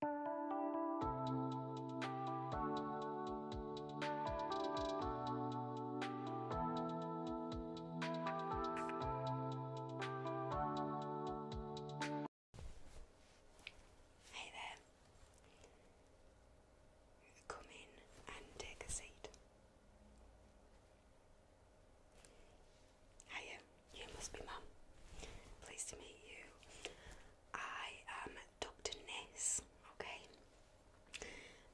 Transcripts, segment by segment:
Hey there. Come in and take a seat. Hiya. You must be Mum. Pleased to meet you. I am Dr. Ness, okay?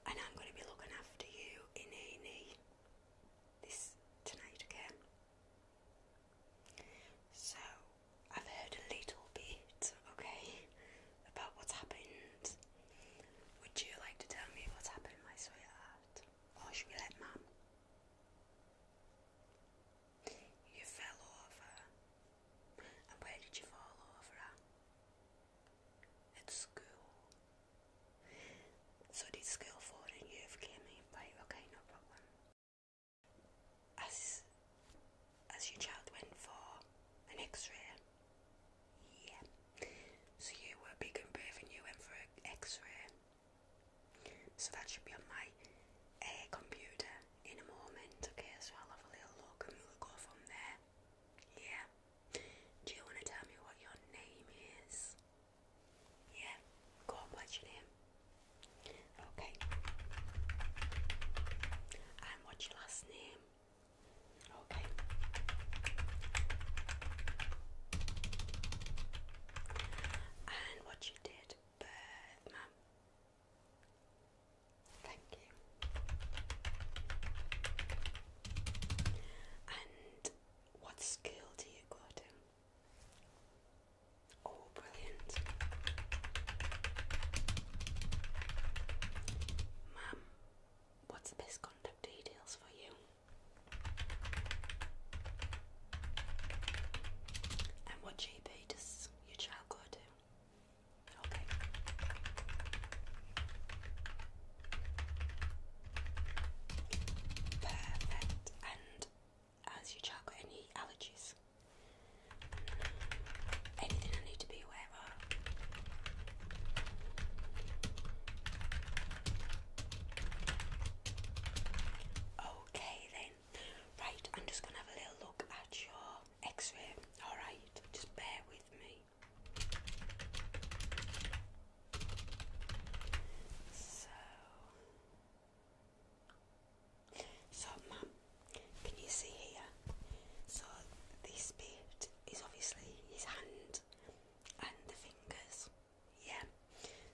And I'm going to be looking after you in a this tonight, okay? So, I've heard a little bit, okay, about what's happened. Would you like to tell me what's happened, my sweetheart? Or should we let Mum? You fell over. And where did you fall over at? school. So did school fall and you've came Right, okay, no problem. As, as your child went for an x-ray? Yeah. So you were big and brave and you went for an x-ray. So that should be on my uh, computer in a moment, okay? So I'll have a little look and we'll go from there. Yeah. Do you want to tell me what your name is? Yeah. Go on, what's your name? Okay. And what's your last name? Okay. And what's your date birth, ma'am? Thank you. And what skill do you got to? Oh, brilliant. Ma'am, what's the best details for you? And what GP food as your child go to. Okay. Perfect. And has your child got any allergies? Anything I need to be aware of? Okay then, Right, I'm just going to have a little look at your x ray. Alright, just bear with me. So, so ma'am, can you see here? So, this bit is obviously his hand and the fingers. Yeah,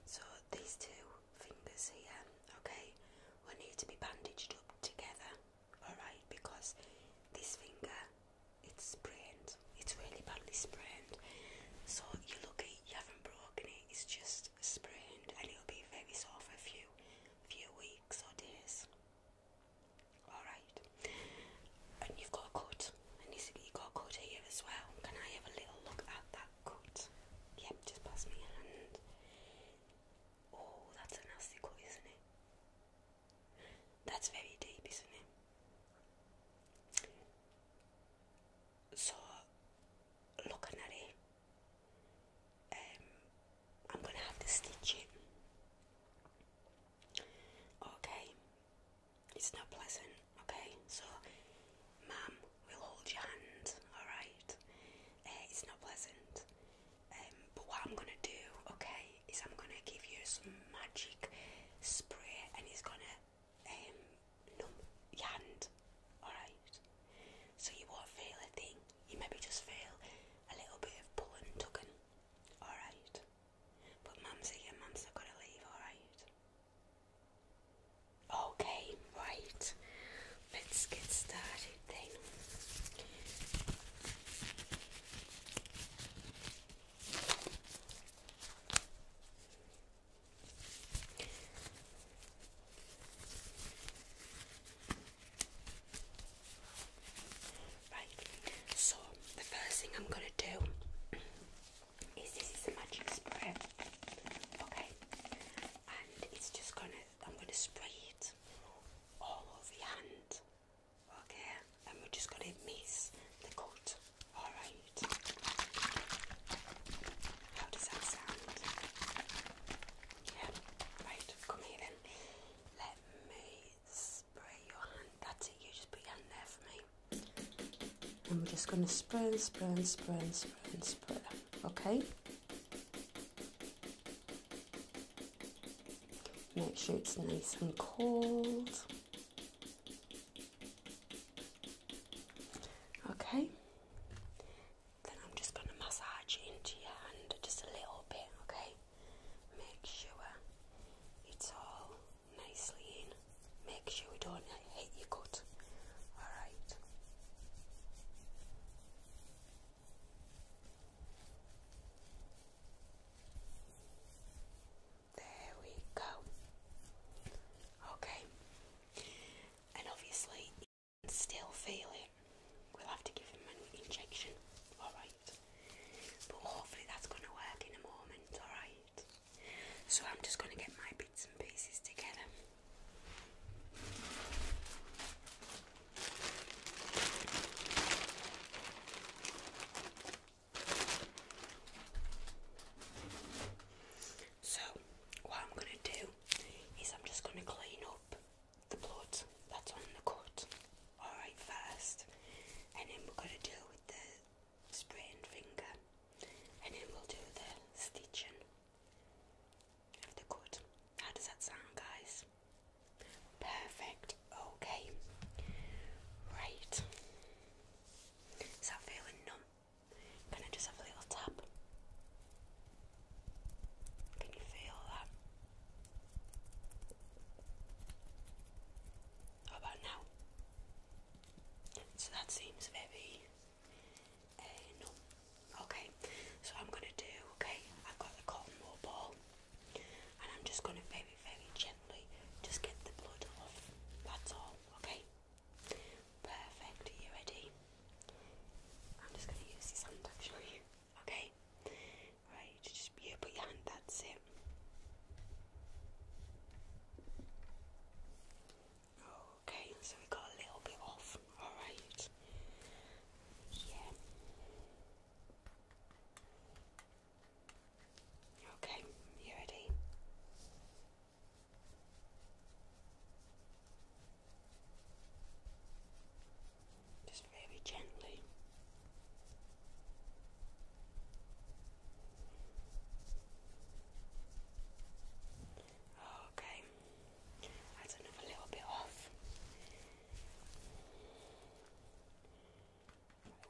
so these two fingers here, okay, will need to be bandaged up together, alright, because this finger it's sprained, it's really badly sprained. So you're lucky you haven't broken it, it's just sprained and it'll be very sore for a few few weeks or days. Alright. And you've got a cut. And you have got a cut here as well. Can I have a little look at that Gut. Yep, just pass me a hand. Oh, that's a nasty isn't it? That's very deep, isn't it? So, looking at it, um, I'm gonna have to stitch it. Okay, it's not pleasant. Okay, so, ma'am, we'll hold your hand, alright? Uh, it's not pleasant. Um, but what I'm gonna do, okay, is I'm gonna give you some magic spray and it's gonna um, numb your hand, alright? So you won't feel a thing, you maybe just feel a little bit of pulling, tugging, alright? But mum's your mum's not gonna leave, alright? Okay, right. Let's get started then. Right, so the first thing I'm going to do is this is a magic spray. Okay, and it's just gonna I'm gonna spray it all over your hand okay and we're just gonna mix the coat all right how does that sound yeah right come here then let me spray your hand that's you just put your hand there for me and we're just gonna spray spray and spray and spray and spray okay make sure it's nice and cold okay then I'm just going to massage into your hand just a little bit okay make sure it's all nicely in make sure we don't I hate your Alright. There we go. Okay. And obviously, you still feel it. We'll have to give him an injection. Alright. But hopefully, that's going to work in a moment. Alright. So, I'm just going to get my bits and pieces together. So, what I'm going to do is I'm just going to clean up the blood that's on the cut, alright, first, and then we're going to deal with the sprained finger, and then we'll do the stitching. If they're How does that sound, guys? Perfect. Okay. Right. Is that feeling numb? Can I just have a little tap? Can you feel that? about now? So that seems very Eh, no. Okay, so I'm gonna do, okay, I've got the cotton wool ball and I'm just gonna very, very gently just get the blood off. That's all, okay? Perfect, are you ready? I'm just gonna use this hand actually, okay? Right, just you put your hand, that's it. Okay, so we got a little bit off. Alright. Yeah. Okay, you ready? Just very gently. Okay, that's another little bit off.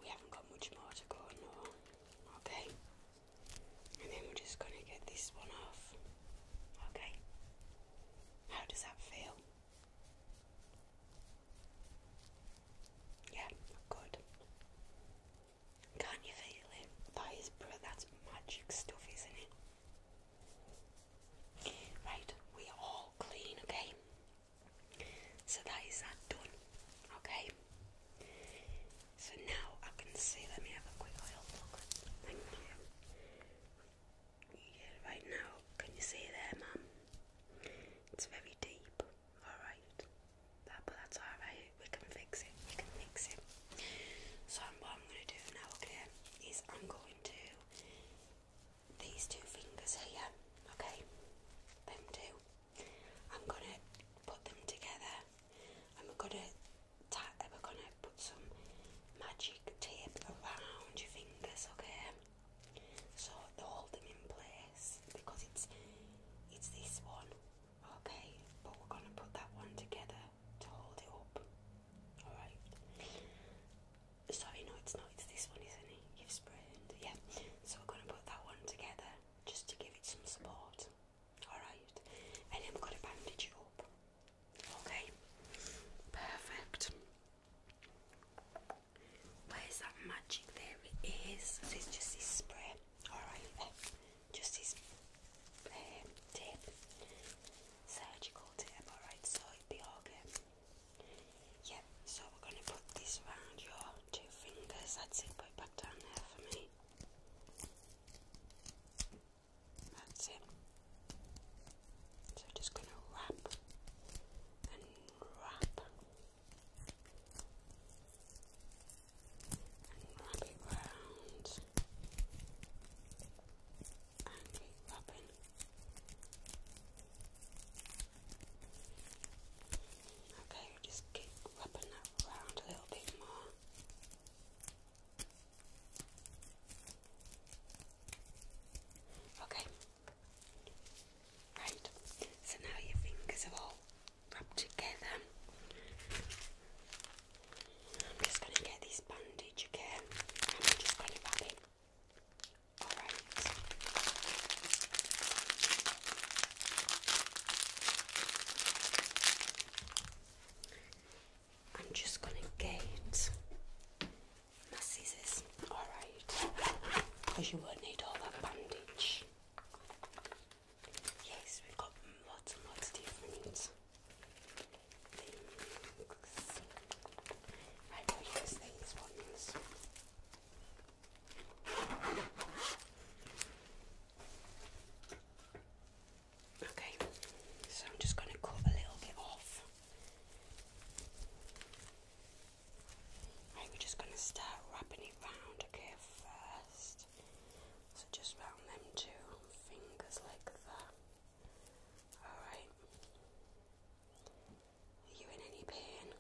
We haven't got much more to go, no. Okay, and then we're just gonna get this one off. Okay, how does that feel? Yeah, good. Can't you feel it? That is bro- that's magic stuff, isn't it? Right, we all clean, okay? So that is that done, okay? So now I can see, let me have a quick oil look. Thank you. Yeah, right now, can you see there, ma'am? It's very deep, alright but that's alright. We can fix it. We can fix it. So what I'm going to do now, okay, is I'm going to these two fingers here, okay, them two. I'm going to put them together, and we're going to we're going to put some magic tape around your fingers, okay. So hold them in place because it's it's this one Okay, but we're gonna put that one together to hold it up. Alright. Sorry, no, it's not, it's this one, isn't it? You've sprained. Yeah. So we're gonna put that one together just to give it some support. Alright. And then we're gonna bandage it up. Okay. Perfect. Where's that magic? There it is. it's just this spray alright Just this um, tip, surgical tip, alright, so it be okay. Yep, so we're going to put this around your two fingers, that's it, put back down there for me. That's it. So we're just going to wrap and wrap and wrap it round and keep wrapping. Okay, just keep wrapping that round a little bit more. Okay. Right. So now your fingers are all rub together. I'm just going to get this bandage again I'm just going to rub it. I'm just going to get my scissors. Alright. Because you will need all that bandage. Yes, we've got lots and lots of different things. I will use these ones. Okay, so I'm just going to cut a little bit off. Right, we're just going to start wrapping it round, okay, first first. So just round them two fingers like that. Alright. Are you in any pain?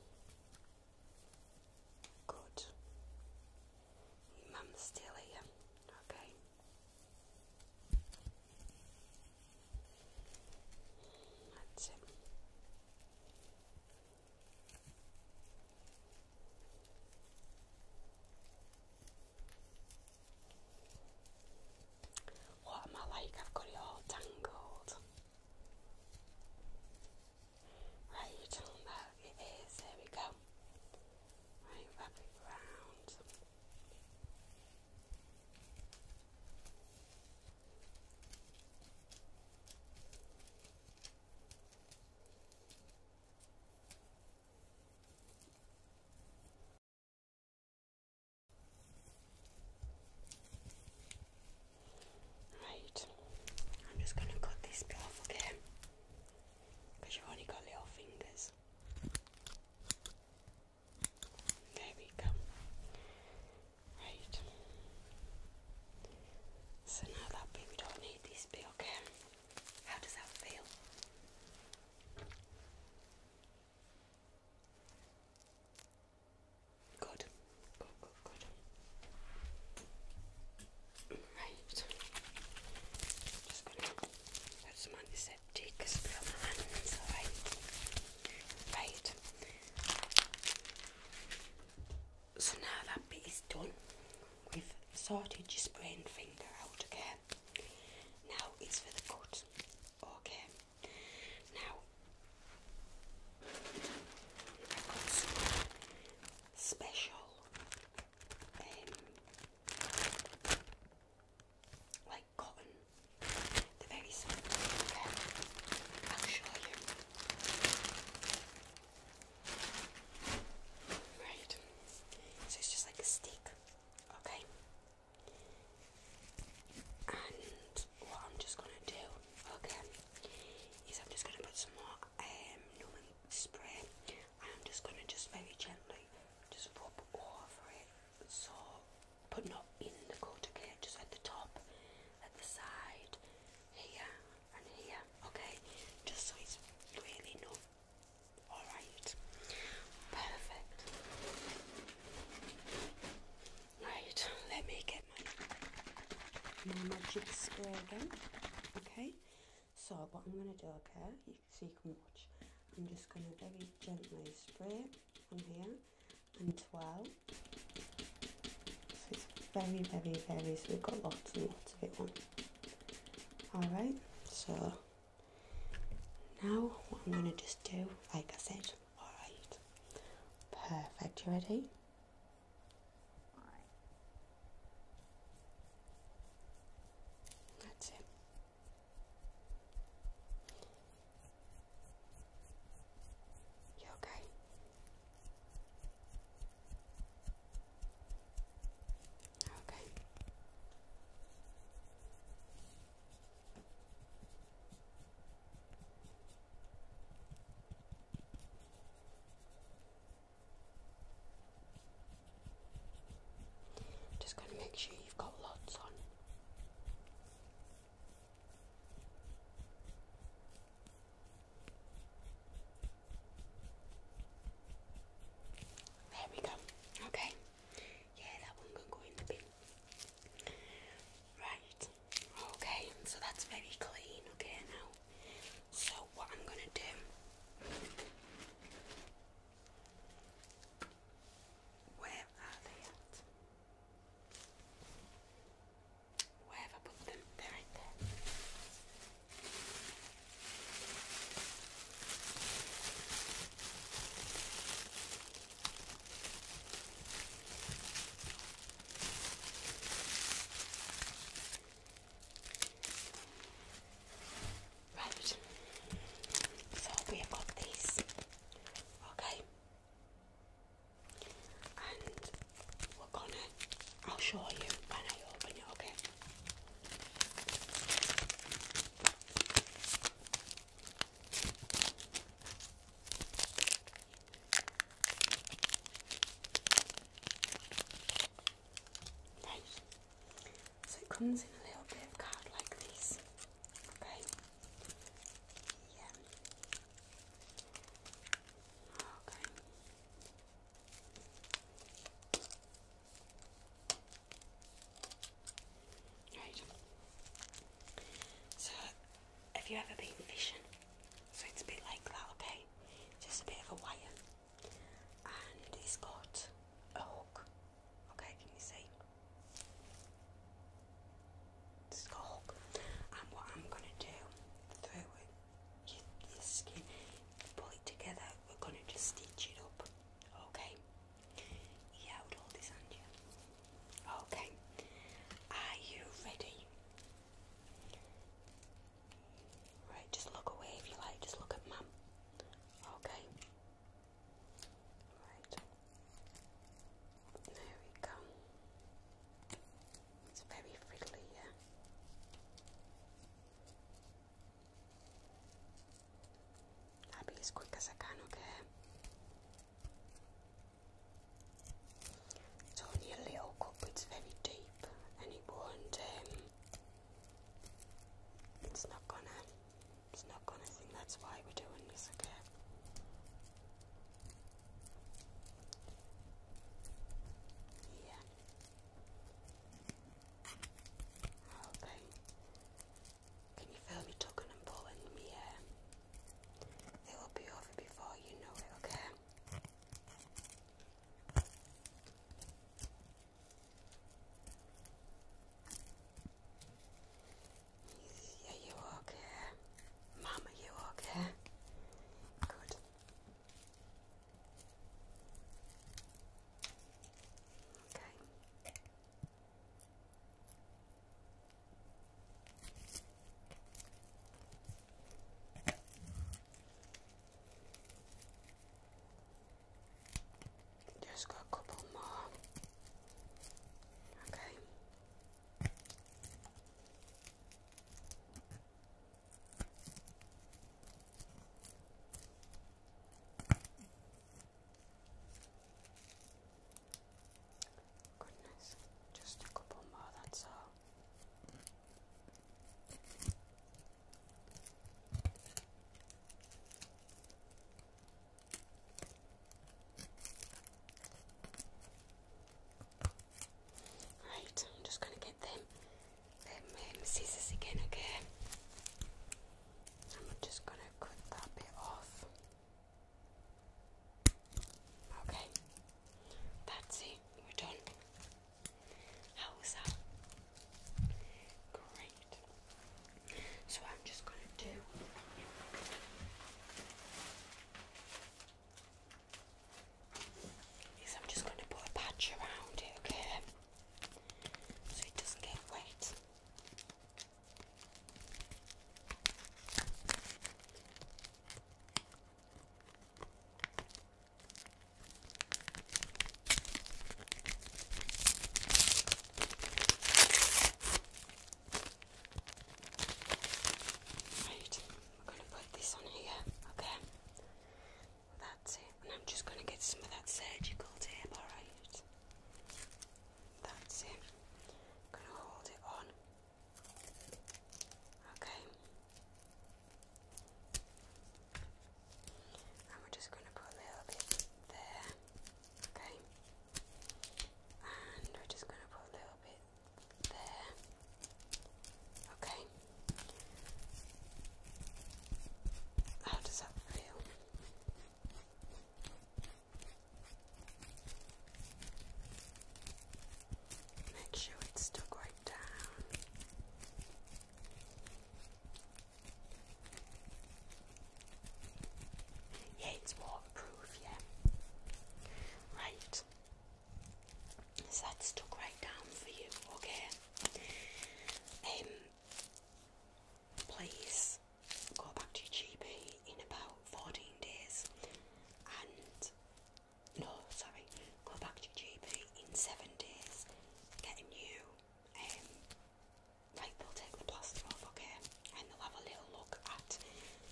Good. mum's still here. Okay. That's it. What am I like? I've got it all tangled. Right, you tell that it is. There we go. Right, wrap it round. Right, I'm just going to cut this off again because you've only got little fingers. There we go. Right. So now that baby don't need this bit, okay? How does that feel? Good. Good, good, good. Right. Just gonna put some antiseptic uh, spray on my hands, alright? Right. So now that bit is done, we've sorted your sprained finger out, again. Now it's for the cut, okay? Now, special, um, like cotton. they very simple, okay? i Right. So it's just like a stick, okay? And what I'm just gonna do, okay, is I'm just gonna put some more um spray I'm just gonna just very gently just rub over it so but not in the coat okay, just at the top, at the side, here, and here, okay? Just so it's really numb. Alright. Perfect. Right, let me get my, my magic spray again. Okay? So what I'm gonna do, okay, you, so you can watch. I'm just gonna very gently spray on here and twelve. So it's very, very, very so we've got lots and lots of it on all right so now what i'm going to just do like i said all right perfect you ready that's it you okay Okay. Just going to make sure you've got lots on. There we go. Okay. Yeah, that one can go in the bin. Right. Okay, so that's very clean, okay now. So what I'm gonna do where are they at? Where have I put them? They're right there. Right, so we have got these, okay, and I'll show you when I open it, okay? So it comes in a little bit of card like this. Okay. Yeah. Okay. Right. So, have you ever been fishing? So it's a bit like that, okay? Just a bit of a wire, and it's got a hook. Okay, can you see? it a hook. And what I'm gonna do pull it together, we're gonna just stitch it up, okay? Yeah, with all this, are you? Okay, are you ready? Right, just look away if you like, just look at mum, okay? Right, there we go. It's very fiddly, yeah. I'll be as quick as I can, okay? It's only a little cup, it's very deep and it won't, um, it's not gonna, it's not gonna that's why we're doing this, okay? Yeah. Okay. Can you feel me tugging and pulling in It will be over before you know it, okay? Yeah, you okay? Mama, you okay? Good. Okay. Just got a couple more. Okay. Goodness, just a couple more, that's all. Right, I'm just going to get them, Let me um, scissors again, Again. I'm just going to cut that bit off. Okay, that's it, we're done. How was that? Great. So I'm just going to do is I'm just going to put a patch around it, okay? So it doesn't get wet. Right, we're going to put this on here, okay? That's it. And I'm just going to get some of that surgical tape, alright? That's it. I'm going to hold it on. Okay. And we're just going to put a little bit there. Okay. And we're just going to put a little bit there. Okay. How does that feel? Make sure it's still right down. Yeah, it's waterproof, yeah. Right, so that's stuck right down for you, okay? Um, please go back to your GP in about 14 days and no, sorry, go back to your GP in seven days, get a new um, right, they'll take the plaster off, okay, and they'll have a little look at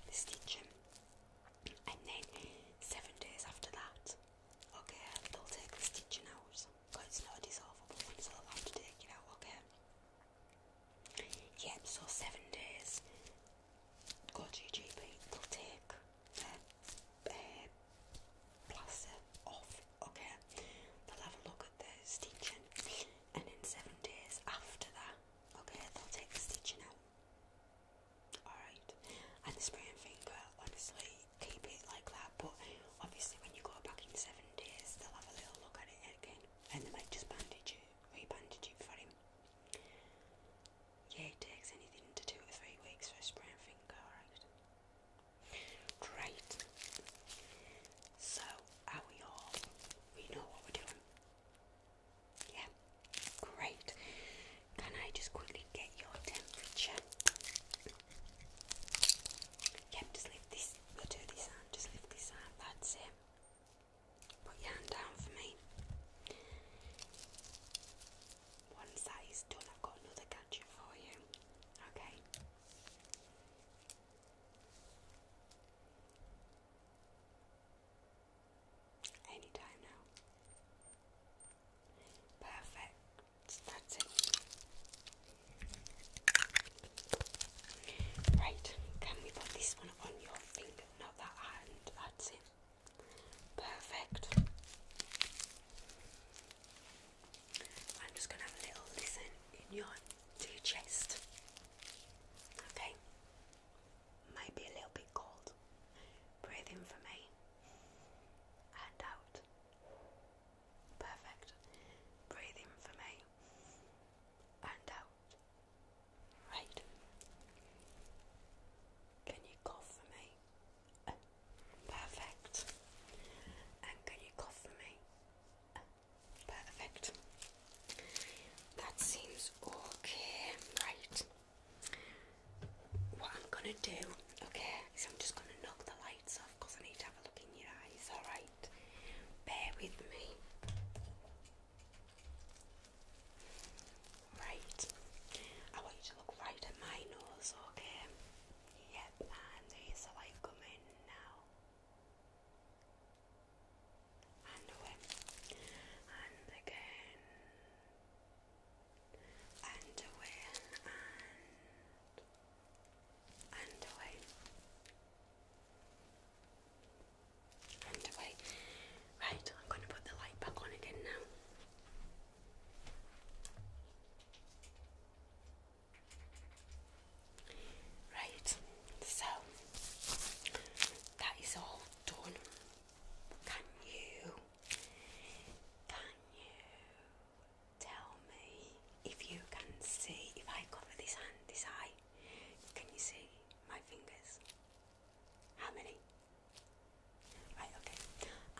the stitching, and then seven days after that, Okay, they'll take the stitching out because it's not a dissolvable one, so they'll have to take it out, okay? Yep, so seven days. Got to your GP, they'll take the uh, uh off, okay? They'll have a look at the stitching, and in seven days after that, okay, they'll take the stitching out. Alright, and the spray finger, honestly, keep it like that. But obviously, when you go back in seven days, they'll have a little look at it again, and they might just bandage it, re-bandage it for him. Yeah, it takes anything to two or three weeks for a spray and finger. Right, great. So, are we all? We know what we're doing. Yeah, great. Can I just quickly get your temperature? Yep, just lift this, we this arm, just lift this arm, that's it. Put your hand down for me. Once that is done, I've got another gadget for you. Okay. Anytime now. Perfect. That's it. Right, can we put this one on your finger? Not that hand. That's it. Perfect. I'm just going to have a little listen in your to chest. Okay might be a little bit cold. Breathe in for me and out. Perfect. Breathe in for me and out. Right. Can you cough for me? perfect. And can you cough for me? perfect. That seems okay. Right. What I'm gonna do, okay, is I'm just gonna knock the lights off because I need to have a look in your eyes, alright? Bear with me. Right. I want you to look right at my nose, okay? Yep, and there's the light coming now. And again underwear and underway underway right I'm going to put the light back on again now Right, so that is all done. Can you can you tell me if you can see, if I cover this hand, this eye, can you see my fingers? How many? Right, okay.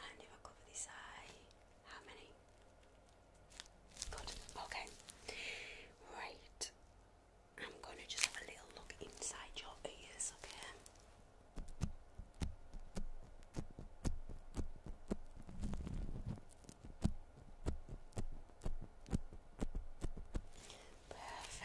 And if I cover this eye, how many? Good, okay. Right. I'm going to just have a little look inside your ears, okay? Perfect. Perfect,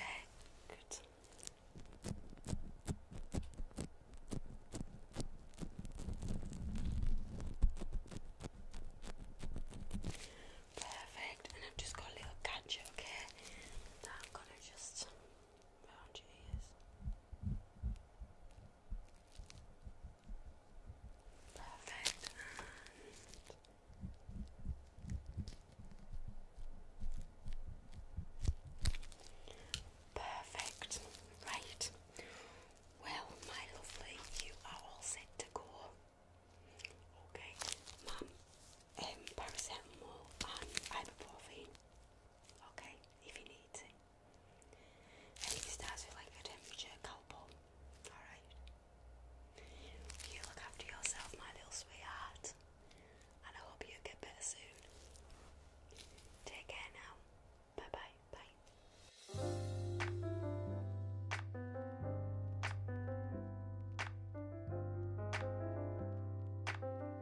and I've just got a little gadget, okay? That I've got to just Perfect. perfect. Right. Well, my lovely, you are all set to go. Okay, mum. Um, paracetamol and ibuprofen okay, if he needs it. And it starts with like a temperature couple, alright? You look after yourself, my little sweetheart, and I hope you get better soon. Take care now. Bye bye. Bye.